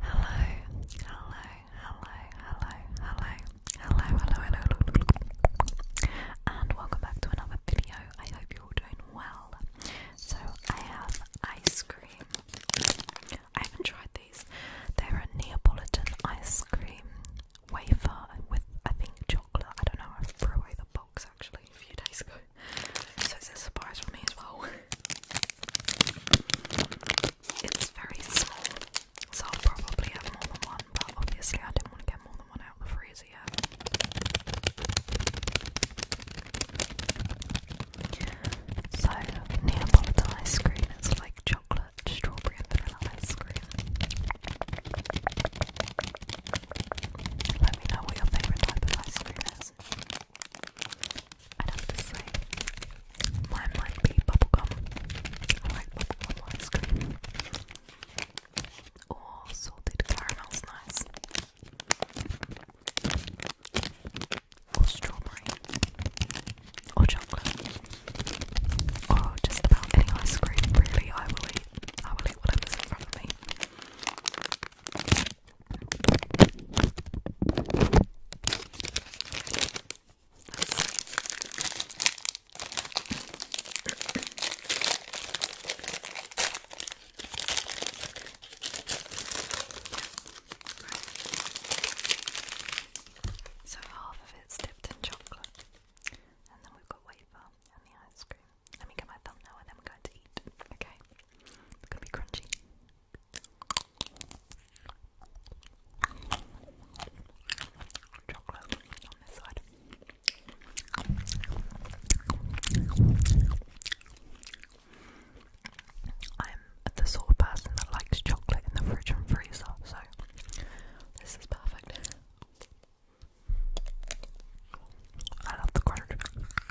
Hello, hello, hello, hello, hello, hello, hello, hello, and welcome back to another video. I hope you're doing well. So I have ice cream. I haven't tried these. They're a Neapolitan ice cream wafer with I think chocolate. I don't know. I threw away the box actually a few days ago, so it's a surprise for me as well. It's very small, so I'll probably have more than one, but obviously I didn't want to get more than one out of the freezer yet. So, Neapolitan ice cream, it's like chocolate, strawberry, and vanilla ice cream. Let me know what your favourite ice cream is. I'd have to say mine might be bubble gum, ice cream. Or salted caramel's nice. Or strawberry. Or chocolate. Or just about any ice cream, really. I will eat. I will eat whatever's in front of me. So half of it's dipped in chocolate, and then we've got wafer and the ice cream. Let me get my thumb and then we going to eat. Okay. It's gonna be crunchy. Chocolate on this side. I'm the sort of person that likes chocolate in the fridge and freezer, so this is perfect. I love the crunch.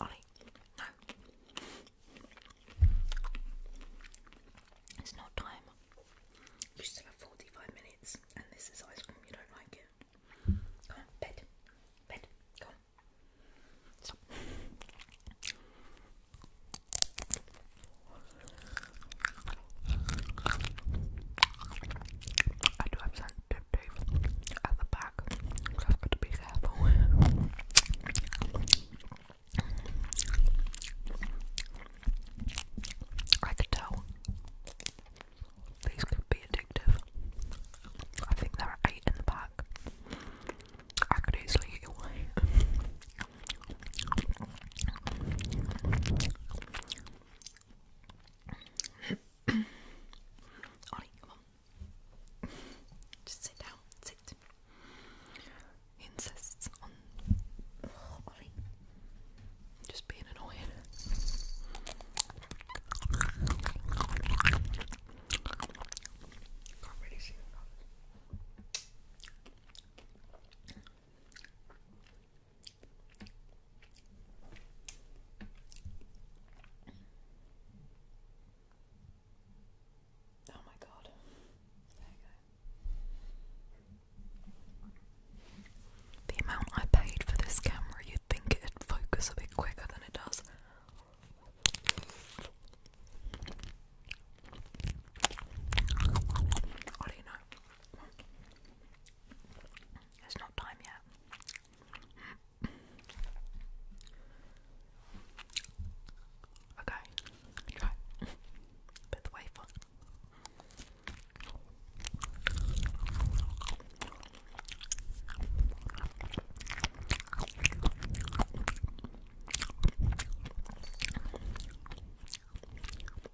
Ollie, no. It's not time. You still have 45 minutes, and this is ice cream, you don't like it. bed. Bed. Go I do have sensitivity at the back, so I've got to be careful. I could tell these could be addictive. I think there are eight in the pack. I could easily eat away. Ollie, come on. Just sit down, sit. insists on oh, Ollie. Just being annoying. Can't really see Oh my god. you The amount I paid for this camera, you'd think it'd focus a bit quicker than it does. I don't know. It's not time yet. Okay, try bit the wafer.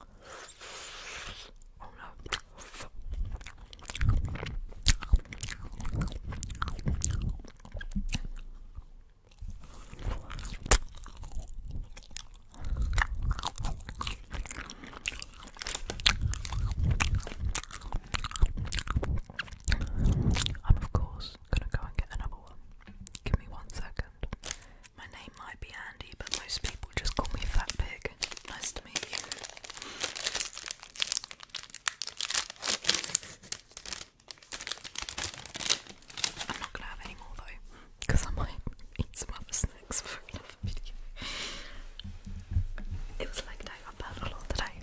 Oh no. I'm of course gonna go and get another one. Give me one second. My name might be Andy, but most people just call me Fat Pig. Nice to meet you. I'm not gonna have any more though, I might eat some other snacks for another video. It was like day, I've had a lot today.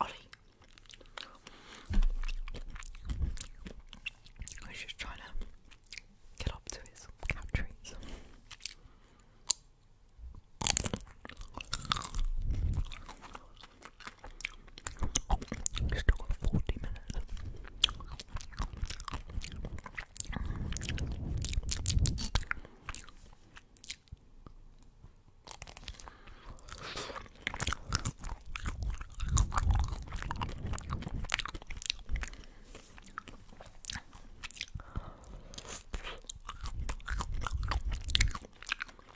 Ollie. I was just trying to get up to his cat Oh, it's still got 40 minutes.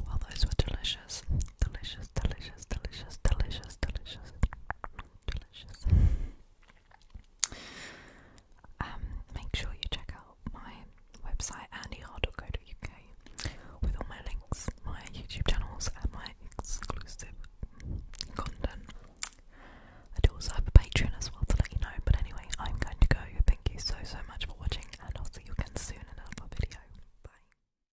Well, those were delicious delicious, delicious, delicious, delicious, delicious, delicious. Um, make sure you check out my website andyhard.co.uk with all my links, my YouTube channels, and my exclusive content. I do also have a Patreon as well to let you know. But anyway, I'm going to go. Thank you so so much for watching, and I'll see you again soon in another video. Bye.